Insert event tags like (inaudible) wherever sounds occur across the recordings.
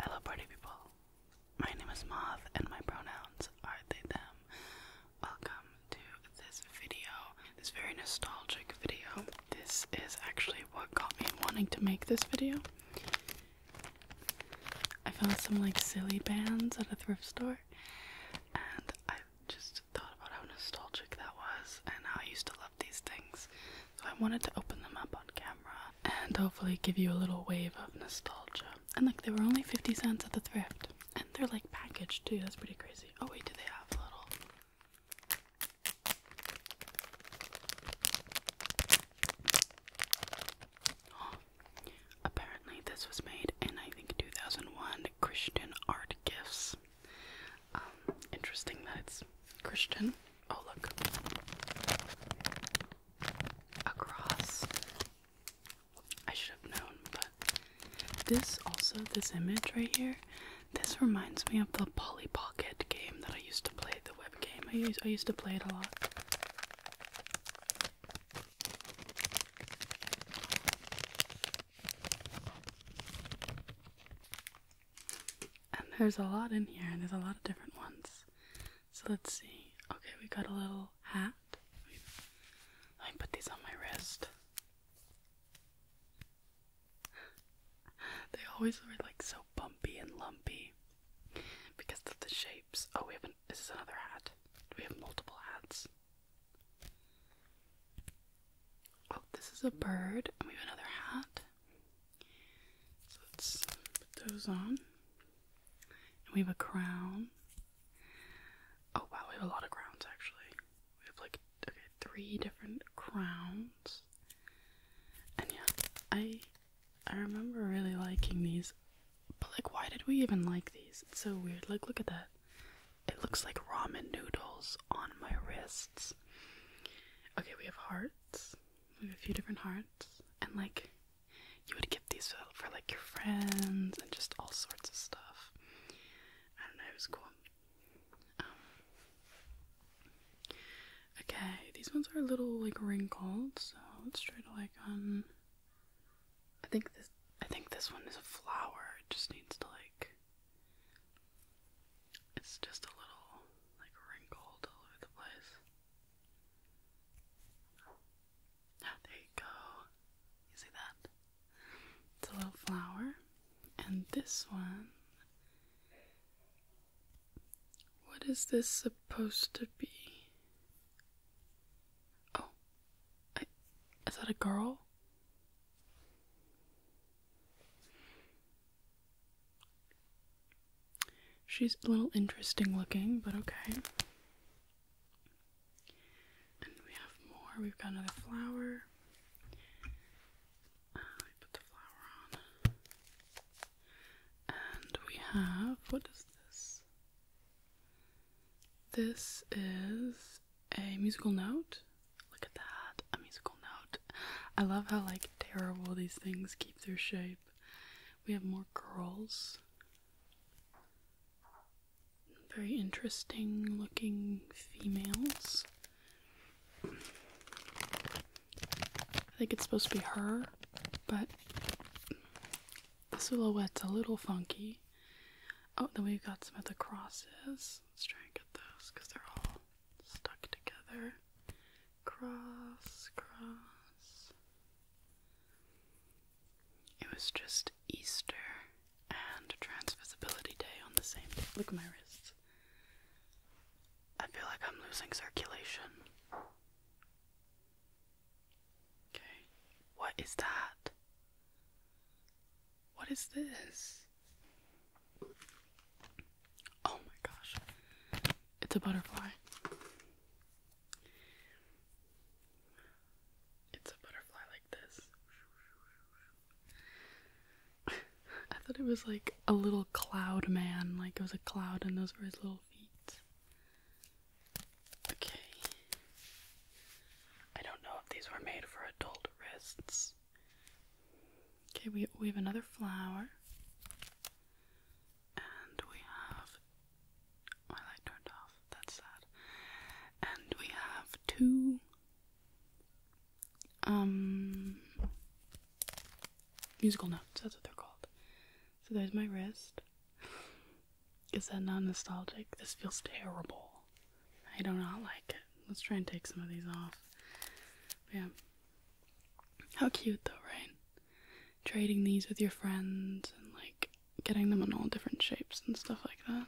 Hello, party people. My name is Moth, and my pronouns are they, them. Welcome to this video, this very nostalgic video. This is actually what got me wanting to make this video. I found some like silly bands at a thrift store, and I just thought about how nostalgic that was and how I used to love these things. So I wanted to open them up on camera and hopefully give you a little wave of nostalgia. And look, they were only 50 cents at the thrift. And they're like packaged too, that's pretty crazy. Oh wait, do they have a little (gasps) apparently this was made in I think 2001 Christian art gifts. Um, interesting that it's Christian. Oh, look. A cross. I should have known, but this also, this image right here, this reminds me of the Polly Pocket game that I used to play, the web game. I used, I used to play it a lot. And there's a lot in here, and there's a lot of different ones. So let's see. Okay, we got a little hat. Let put these on my wrist. They always were like so bumpy and lumpy because of the shapes. Oh, we have this is another hat. We have multiple hats. Oh, this is a bird, and we have another hat let's put those on. And we have a crown. Oh wow, we have a lot of crowns actually. We have like okay, three different crowns. And yeah, I I remember really liking these. But like why did we even like these? It's so weird. Like look at that. It looks like ramen noodles on my wrists. Okay, we have hearts. We have a few different hearts, and like you would get these for, like your friends and just all sorts of stuff. I don't know, it was cool. Um, okay, these ones are a little like wrinkled, so let's try to like um. I think this. I think this one is a flower. It just needs to like it's just a little like wrinkled all over the place. Ah, there you go. You see that? It's a little flower. And this one. What is this supposed to be? Oh. is that a girl? She's a little interesting looking, but okay. And we have more. We've got another flower. Uh, put the flower on. And we have what is this? This is a musical note. Look at that, a musical note. I love how like terrible these things keep their shape. We have more girls. Very interesting looking females. I think it's supposed to be her, but the silhouette's a little funky. Oh, then we've got some of the crosses. Let's try and get those because they're all stuck together. Cross, cross. It was just Easter and Transvisibility Day on the same day. Look at my wrists. I feel like I'm losing circulation. Okay, what is that? What is this? Oh my gosh. It's a butterfly. It's a butterfly like this. (laughs) I thought it was like a little cloud man, like it was a cloud and those were his little feet. Okay. I don't know if these were made for adult wrists. Okay, we we have another flower, and we have oh, my light turned off. That's sad. And we have two um musical notes. That's what they're called. So there's my wrist. Is that not nostalgic? This feels terrible. I do not like it. Let's try and take some of these off. But yeah. How cute though, right? Trading these with your friends and like getting them in all different shapes and stuff like that.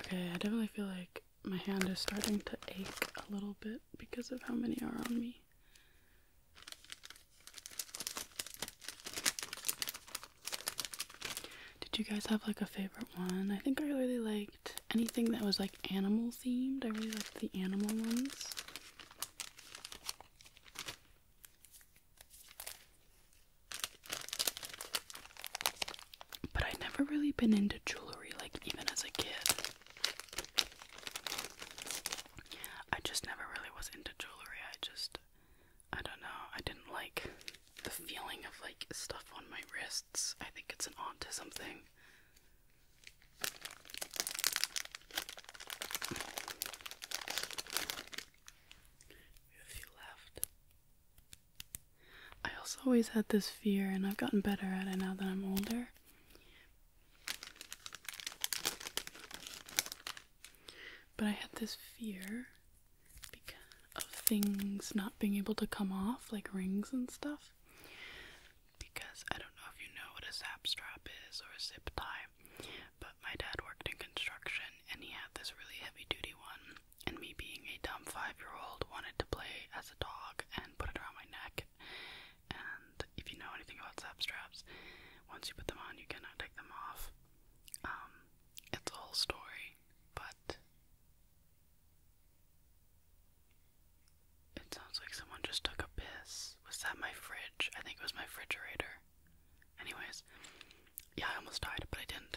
Okay, I definitely feel like my hand is starting to ache a little bit because of how many are on me. Did you guys have like a favorite one? I think I really liked anything that was like animal themed. I really liked the animal ones. But I'd never really been into jewelry, like even as a kid. I just never really was into jewelry. I just, I don't know, I didn't like the feeling of like stuff on my wrists. I think it's an autism thing. We have a few left. I also always had this fear, and I've gotten better at it now that I'm older. But I had this fear because of things not being able to come off, like rings and stuff. Because I don't know if you know what a zap strap is or a zip tie, but my dad worked in construction and he had this really heavy duty one and me being a dumb five year old wanted to play as a dog and put it around my neck. And if you know anything about zap straps, once you put them on, you cannot take them off. Um, it's a whole story, but it sounds like someone just took a piss. Was that my fridge? I think it was my refrigerator. Anyways, yeah, I almost died, but I didn't.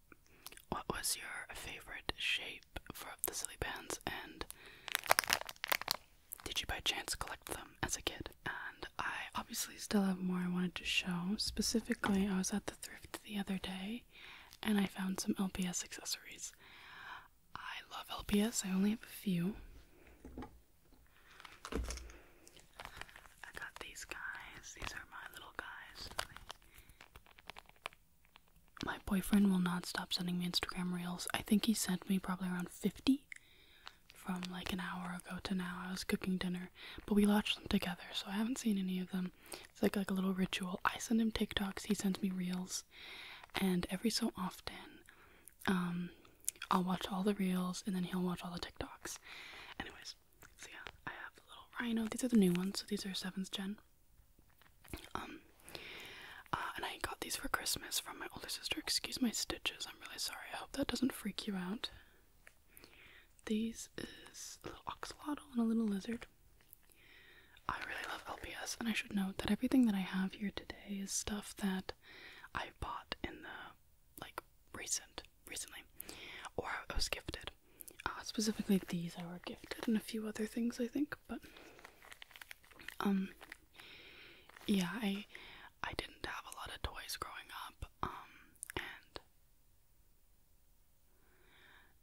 What was your favorite shape for the silly bands? And did you by chance collect them as a kid? And I obviously still have more I wanted to show. Specifically, I was at the thrift the other day and I found some LPS accessories. I love LPS, I only have a few. I got these guys, these are my little guys. My boyfriend will not stop sending me Instagram reels. I think he sent me probably around 50 from like an hour ago to now. I was cooking dinner, but we watched them together, so I haven't seen any of them. It's like, like a little ritual. I send him TikToks, he sends me reels, and every so often, um, I'll watch all the reels and then he'll watch all the TikToks. Anyways, so yeah, I have a little rhino. These are the new ones, so these are seventh gen. Um uh, and I got these for Christmas from my older sister. Excuse my stitches, I'm really sorry. I hope that doesn't freak you out. These is a little oxalotl and a little lizard. I really love LPS, and I should note that everything that I have here today is stuff that I bought in the like recent recently, or I was gifted. Uh, specifically these I were gifted and a few other things I think, but um yeah, I I didn't have a lot of toys growing up. Um, and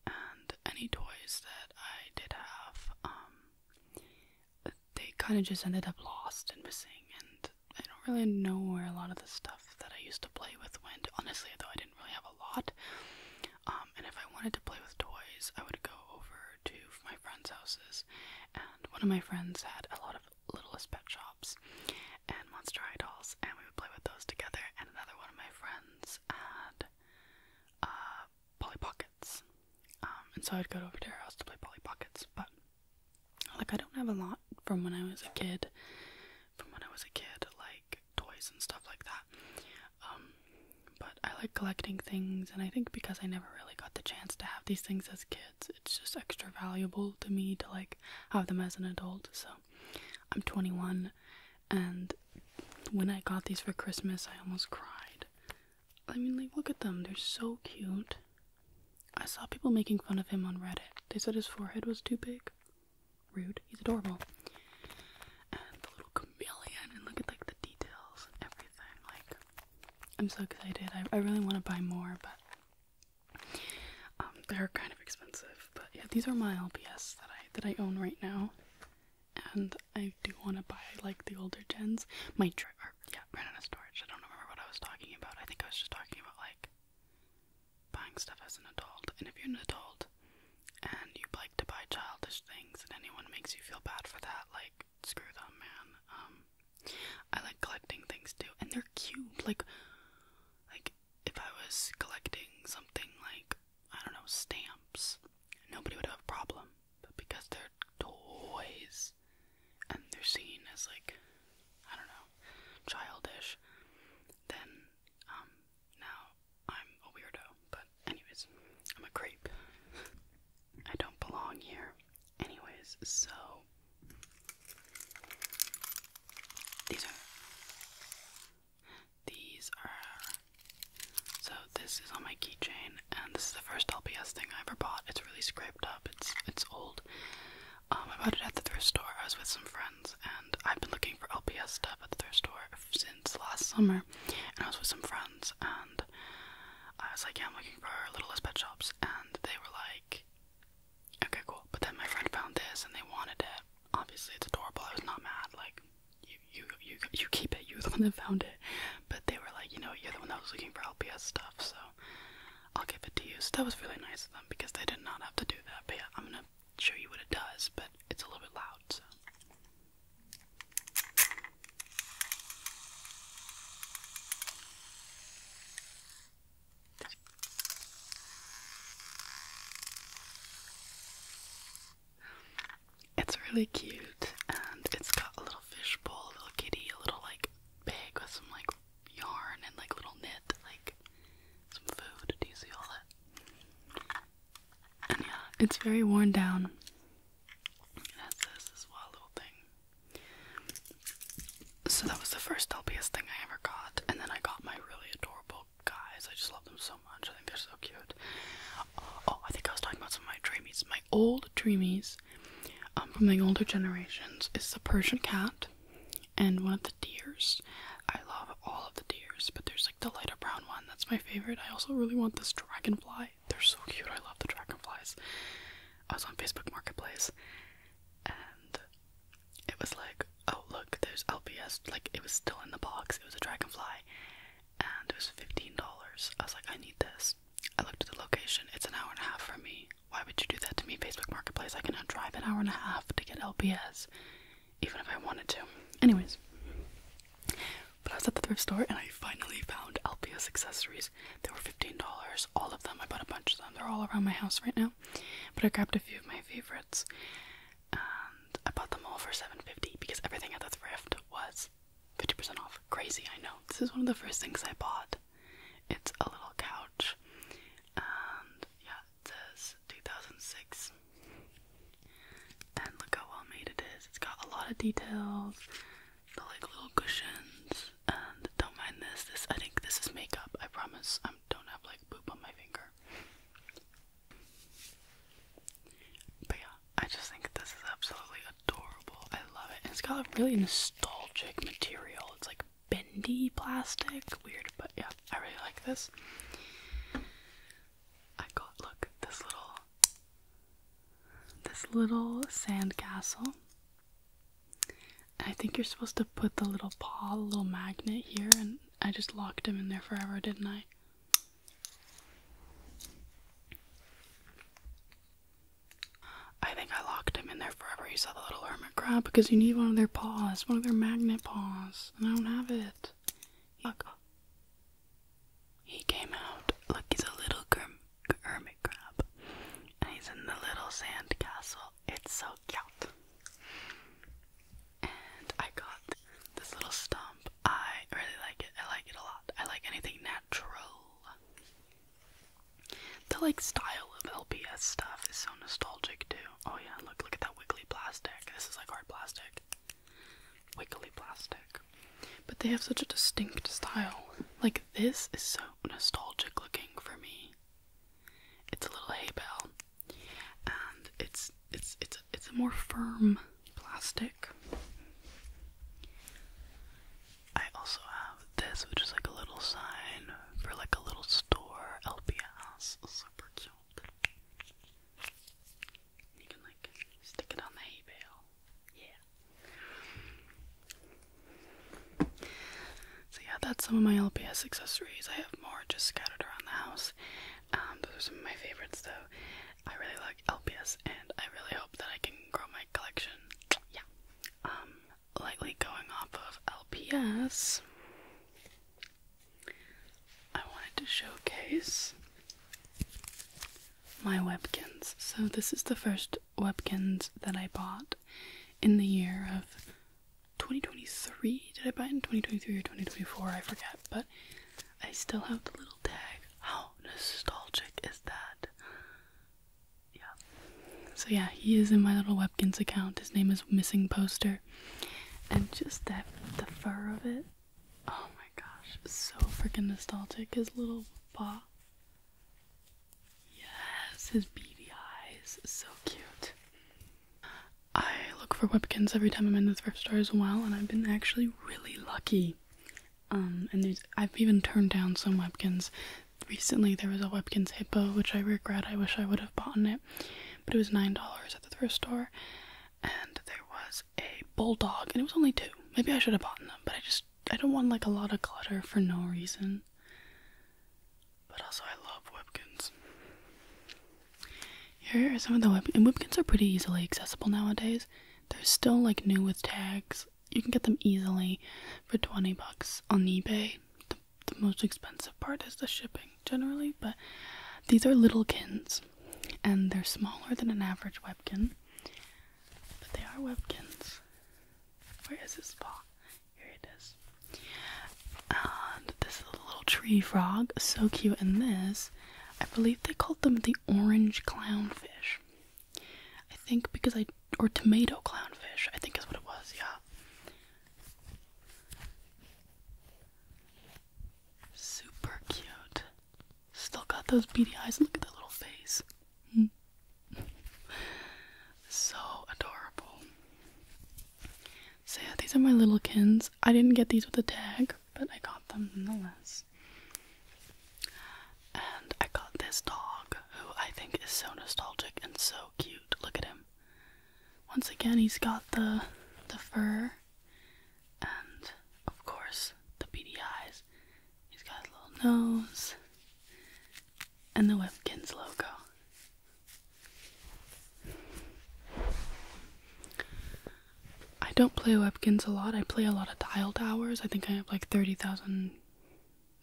and any toys that I did have, um, they kind of just ended up lost and missing and I don't really know where a lot of the stuff that I used to play with when, honestly, though, I didn't really have a lot. Um, and if I wanted to play with toys, I would go over to my friends' houses. And one of my friends had a lot of Littlest Pet Shops and Monster High dolls, and we would play with those together. And another one of my friends had uh, Polly Pockets. Um, and so I'd go over to her house to play Polly Pockets, but like I don't have a lot from when I was a kid. From when I was a kid, like toys and stuff like that. Um, but I like collecting things, and I think because I never really got the chance to have these things as kids, it's just extra valuable to me to like have them as an adult. So I'm 21, and when I got these for Christmas, I almost cried. I mean, look at them, they're so cute. I saw people making fun of him on Reddit. They said his forehead was too big. Rude. He's adorable. And the little chameleon, and look at like the details and everything. Like, I'm so excited. I, I really want to buy more, but um, they're kind of expensive. But yeah, these are my LPS that I that I own right now, and I do want to buy like the older gens. My yeah, ran out of storage. I don't remember what I was talking about. I think I was just talking about like buying stuff as an adult. And if you're an adult and you like to buy childish things and anyone makes you feel bad for that, like, screw them, man. Um, I like collecting things too, and they're cute. Like, like if I was collecting something like, I don't know, stamps, nobody would have a problem. But because they're toys and they're seen as like, I don't know, childish, then um, now I'm a weirdo, but anyways, I'm a creep. I don't belong here. Anyways, so these are these are so this is on my keychain and this is the first LPS thing I ever bought. It's really scraped up, it's it's old. Um, I bought it at the thrift store. I was with some friends, and I've been looking for LPS stuff at the thrift store since last summer. And I was with some friends, and I was like, "Yeah, I'm looking for Littlest Pet Shops," and they were like, "Okay, cool." But then my friend found this, and they wanted it. Obviously, it's adorable. I was not mad. Like, you, you, you, you keep it. You are the one that found it. But they were like, you know, you're the one that was looking for LPS stuff, so. I'll give it to you. So that was really nice of them because they did not have to do that. But yeah, I'm gonna show you what it does, but it's a little bit loud, It's really cute and it's got a little fishbowl, a little kitty, a little like bag with some like yarn and like little knit, like some food. Do you see all that? And yeah, it's very worn down. It this as well, little thing. So that was the first LPS thing I ever got, and then I got my really adorable guys. I just love them so much. I think they're so cute. Uh, oh, I think I was talking about some of my dreamies. My old dreamies um, from the older generations is the Persian cat and one of the deers. I love all of the deers, but there's like the lighter brown one. That's my favorite. I also really want this dragonfly. They're so cute. I love the dragonflies. I was on Facebook Marketplace and it was like, oh look, there's LBS. Like it was still in the box. It was a dragonfly and it was $15. I was like, I need this. I looked at the location. It's an hour and a half from me. Why would you do that to me, Facebook Marketplace? I cannot drive an hour and a half to get LPS, even if I wanted to. Anyways, but I was at the thrift store and I finally found LPS accessories. They were $15, all of them. I bought a bunch of them. They're all around my house right now. But I grabbed a few of my favorites and I bought them all for $7.50 because everything at the thrift was 50% off. Crazy, I know. This is one of the first things I bought. It's a little couch, and yeah, says 2006. And look how well made it is. It's got a lot of details, the like little cushions, and don't mind this. This I think this is makeup. I promise. I don't have like poop on my finger. But yeah, I just think this is absolutely adorable. I love it. it's got a really nostalgic material. It's like bendy plastic. Weird, but yeah, I really like this. I got look this little this little sandcastle. I think you're supposed to put the little paw, the little magnet here, and I just locked him in there forever, didn't I? I think I locked him in there there forever. You saw the little hermit crab because you need one of their paws, one of their magnet paws, and I don't have it. Look, he came out. Look, he's a little hermit crab, and he's in the little sand castle. It's so cute. And I got this little stump. I really like it. I like it a lot. I like anything natural. The like style of LPS stuff is so nostalgic too. Oh yeah, look, look at that wiggly plastic. This is like hard plastic. Wiggly plastic. But they have such a distinct style. Like this is so nostalgic looking for me. It's a little hay bale. And it's it's it's it's a more firm plastic. I also have this, which is like a little sign for like a little store, LPS. Super cute. You can like stick it on the hay bale. Yeah. So yeah, that's some of my LPS accessories. I have more just scattered around the house. Um, those are some of my favorites though. I really like LPS and I really hope that I can grow my collection. Yeah. Um, lightly going off of LPS, I wanted to showcase my Webkins. So, this is the first Webkins that I bought in the year of 2023. Did I buy in 2023 or 2024? I forget, but I still have the little tag. How nostalgic is that? yeah. So yeah, he is in my little Webkins account. His name is Missing Poster. And just that the fur of it. Oh my gosh. So freaking nostalgic. His little paw. Yes, his beady eyes. So cute. I look for Webkins every time I'm in the thrift store as well, and I've been actually really lucky. Um, and there's I've even turned down some Webkins recently there was a Webkins Hippo, which I regret. I wish I would have bought it, but it was $9 at the thrift store. And there was a Bulldog, and it was only two. Maybe I should have bought them, but I just, I don't want like a lot of clutter for no reason. But also, I love Webkins. Here are some of the Webkins, and Webkins are pretty easily accessible nowadays. They're still like new with tags. You can get them easily for 20 bucks on eBay the most expensive part is the shipping generally, but these are little kins and they're smaller than an average webkin. But they are webkins. Where is his paw? Here it is. And this is a little tree frog, so cute. And this, I believe they called them the orange clownfish. I think because I, or tomato clownfish, I think is what it was, yeah. Super cute. Still got those beady eyes. Look at that little face. Hmm. (laughs) so adorable. So yeah, these are my little kins. I didn't get these with a tag, but I got them nonetheless. And I got this dog who I think is so nostalgic and so cute. Look at him. Once again, he's got the the fur, and of course the beady eyes. He's got a little nose, and the Whipkins logo. I don't play Whipkins a lot. I play a lot of Dial Towers. I think I have like thirty thousand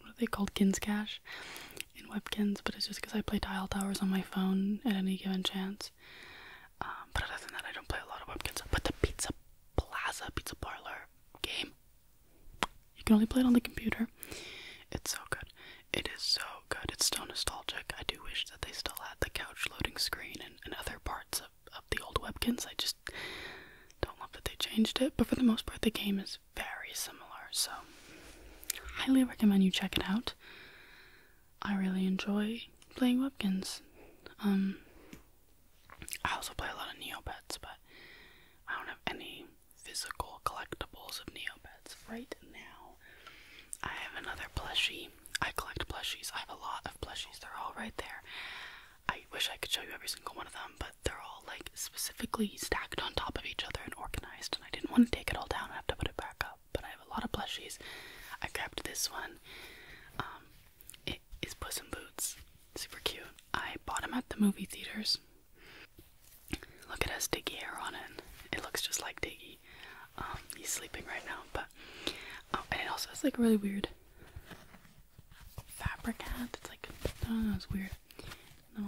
what are they called, Ginscash in Webkins, but it's just because I play Tile Towers on my phone at any given chance. Um, but other than that, I don't play a lot of Webkins. But the Pizza Plaza Pizza Parlor game, you can only play it on the computer. It's so good. It is so good. It's so nostalgic. I do wish that they still had the couch loading screen and, other parts of, of the old Webkins. I just don't love that they changed it, but for the most part, the game is very similar, so highly recommend you check it out. I really enjoy playing Webkins. Um, I also play a lot of Neopets, but I don't have any physical collectibles of Neopets right now. I have another plushie. I collect plushies. I have a lot of plushies. They're all right there. I wish I could show you every single one of them, but they're all like specifically stacked on top of each other and organized. And I didn't want to take it all down. I have to put it back up. But I have a lot of plushies. I grabbed this one. Um, it is Puss in Boots. Super cute. I bought them at the movie theaters. Look, at his Diggy hair on it. It looks just like Diggy. Um, he's sleeping right now, but oh, and it also has like a really weird fabric hat. It's like I do weird no,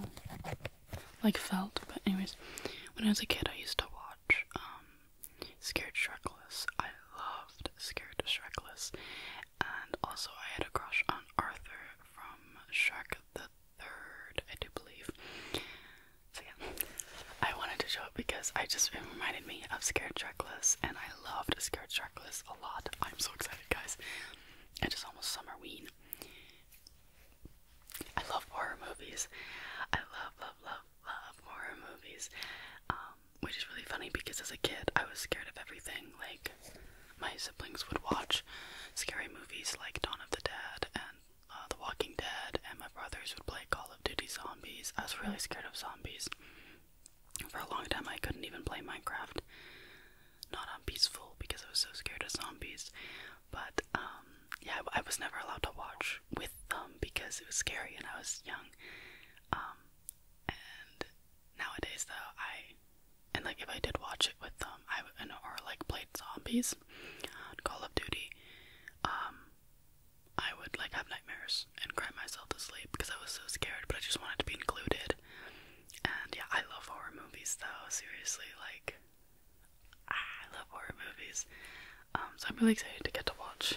like felt. But anyways, when I was a kid, I used to watch um, Scared Shrekless. I loved Scared Shrekless, and also I had a crush on Arthur from Shrek the Third, I do believe. So yeah, I wanted to show it because I just reminded me of Scared Shrekless, and I loved Scared Shrekless a lot. I'm so excited, guys! It is almost summer ween. I love horror movies. I love, love, love, love horror movies. Um, which is really funny because as a kid, I was scared of everything. Like, my siblings would watch scary movies like Dawn of the Dead and uh, The Walking Dead, and my brothers would play Call of Duty Zombies. I was really scared of zombies. For a long time, I couldn't even play Minecraft not on peaceful because I was so scared of zombies. But um, yeah, I, was never allowed to watch with them because it was scary and I was young. Um, and nowadays though, I and like if I did watch it with them, I would, or like played zombies Call of Duty. Um, I would like have nightmares and cry myself to sleep because I was so scared. But I just wanted to be included. And yeah, I love horror movies though, seriously, like I love horror movies. Um, so I'm really excited to get to watch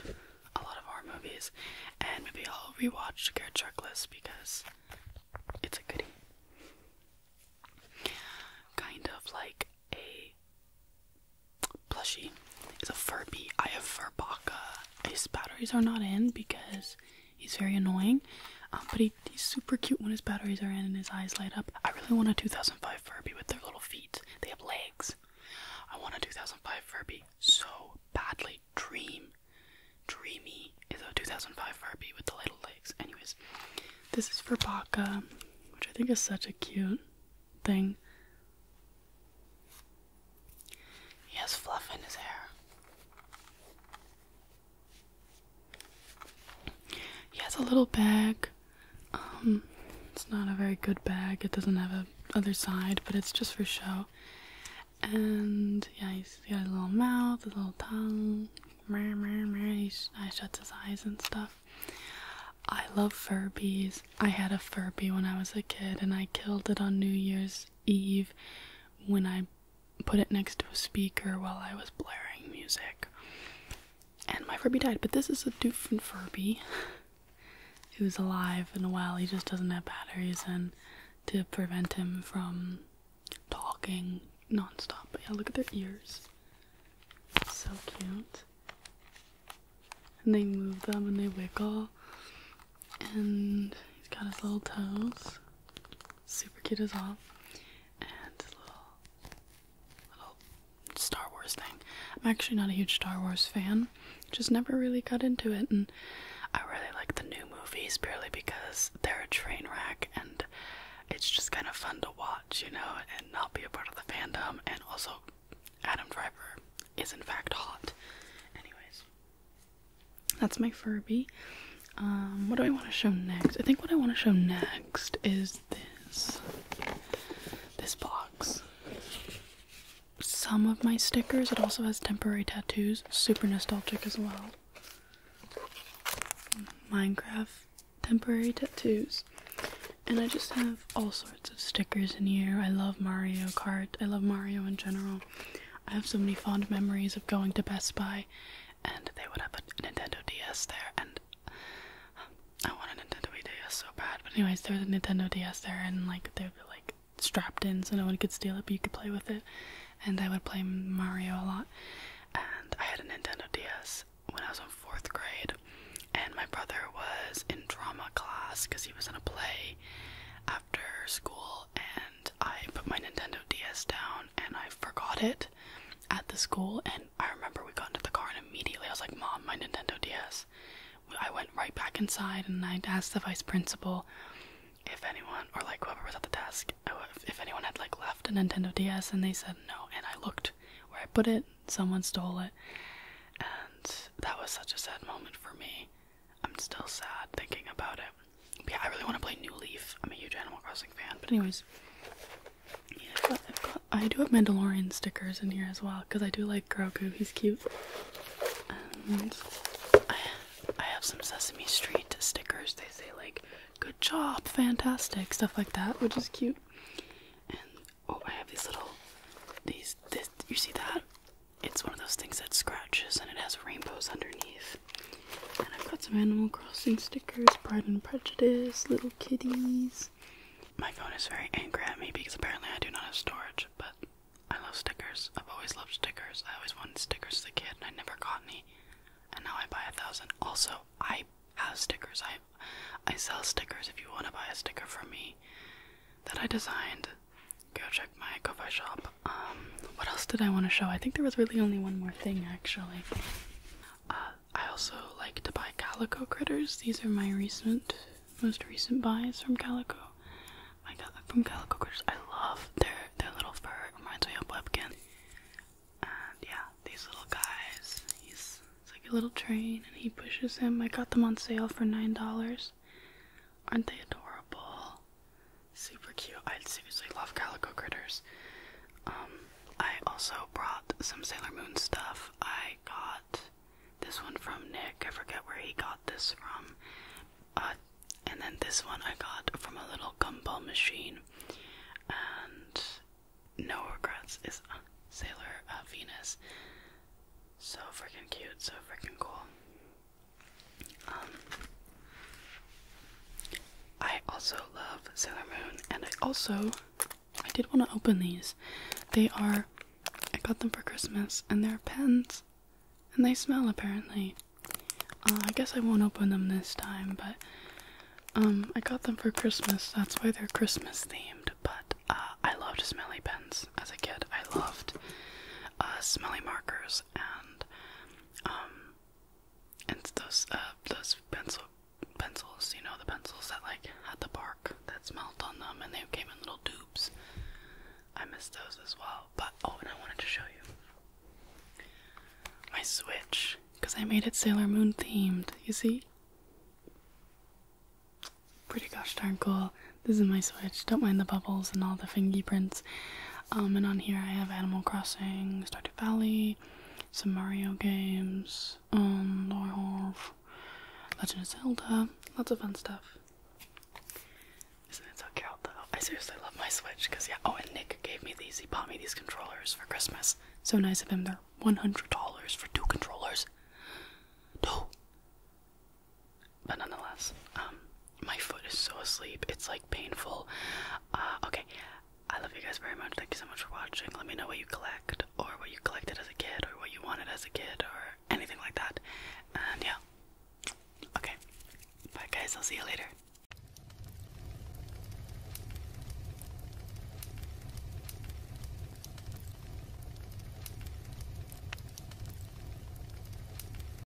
a lot of horror movies and maybe I'll rewatch Scared Checklist because it's a goodie. Kind of like a plushie. It's a Furby. I have Furbaka. His batteries are not in because He's very annoying, um, but he's super cute when his batteries are in and his eyes light up. I really want a 2005 Furby with their little feet. They have legs. I want a 2005 Furby so badly. Dream. Dreamy is a 2005 Furby with the little legs. Anyways, this is for Baka, which I think is such a cute thing. He has fluff in his hair. He has a little bag. Um, it's not a very good bag. It doesn't have a other side, but it's just for show. And yeah, he's got a little mouth, a little tongue. He shuts his eyes and stuff. I love fur I had a fur when I was a kid, and I killed it on New Year's Eve when I put it next to a speaker while I was blaring music. And my Furby died, but this is a different Furby was (laughs) alive and well. He just doesn't have batteries and to prevent him from talking non-stop. yeah, look at their ears. So cute. And they move them and they wiggle. And he's got his little toes super cute as well. And little little Star Wars thing. I'm actually not a huge Star Wars fan. Just never really got into it and I really like the new movies purely because they're a train wreck and it's just kind of fun to watch, you know, and not be a part of the fandom and also Adam Driver is in fact hot. Anyways, that's my Furby. Um, what do I want to show next? I think what I want to show next is this this box. Some of my stickers. It also has temporary tattoos. Super nostalgic as well. Minecraft temporary tattoos. And I just have all sorts of stickers in here. I love Mario Kart. I love Mario in general. I have so many fond memories of going to Best Buy and they would have a Nintendo DS there. And I wanted a Nintendo DS so bad. But anyways, there was a Nintendo DS there, and like they would be like strapped in so no one could steal it, but you could play with it. And I would play Mario a lot. And I had a Nintendo DS when I was in fourth grade, and my brother was in drama class because he was in a play after school, and I put my Nintendo DS down and I forgot it at the school. And I remember we got into the car and immediately I was like, Mom, my Nintendo DS. I went right back inside and I asked the vice principal if anyone, or like whoever was at the desk, oh, if anyone had like left a Nintendo DS and they said no. And I looked where I put it, someone stole it. And that was such a sad moment for me. I'm still sad thinking about it yeah, I really want to play New Leaf. I'm a huge Animal Crossing fan. But anyways, i do have Mandalorian stickers in here as well because I do like Grogu. He's cute. And I, have some Sesame Street stickers. They say like, "Good job, fantastic," stuff like that, which is cute. And oh, I have these little, these this. You see that? It's one of those things that scratches and it has rainbows underneath. And I've got some Animal Crossing stickers, Pride and Prejudice, little kitties. My phone is very angry at me because apparently I do not have storage, but I love stickers. I've always loved stickers. I always wanted stickers as a kid and I never got any. And now I buy a thousand. Also, I have stickers. I I sell stickers if you want to buy a sticker from me that I designed. Go check check my cover shop. Um, what else did I want to show? I think there was really only one more thing actually. Uh, I also like to buy calico critters. These are my recent, most recent buys from calico. I got them from calico critters. I love their their little fur. reminds me of Webkin. And yeah, these little guys. He's like a little train, and he pushes him. I got them on sale for nine dollars. Aren't they adorable? Super cute. I seriously love calico critters. Um, I also brought some Sailor Moon stuff. I got this one from Nick. I forget where he got this from. Uh, and then this one I got from a little gum ball machine. And no regrets is Sailor uh, Venus. So freaking cute, so freaking cool. Um, I also love Sailor Moon, and I also I did want to open these. They are I got them for Christmas, and they're pens, and they smell apparently. Uh, I guess I won't open them this time, but um, I got them for Christmas. That's why they're Christmas themed. But uh, I loved smelly pens as a kid. I loved uh, smelly markers and um, and those uh, those pencil pencils, you know, the pencils that like had the bark that smelled on them, and they came in little tubes. I missed those as well. But oh, and I wanted to show you my Switch because I made it Sailor Moon themed. You see. Pretty gosh darn cool. This is my switch. Don't mind the bubbles and all the fingy prints. Um, and on here I have Animal Crossing, Stardew Valley, some Mario games, and I have Legend of Zelda, lots of fun stuff. Isn't it so cute though? I seriously love my Switch, because yeah, oh and Nick gave me these, he bought me these controllers for Christmas. So nice of him, they're $100 for two controllers. Two! but nonetheless, um, my foot is so asleep. It's like painful. Uh, okay, I love you guys very much. Thank you so much for watching. Let me know what you collect, or what you collected as a kid, or what you wanted as a kid, or anything like that. And yeah. Okay. Bye, guys. I'll see you later.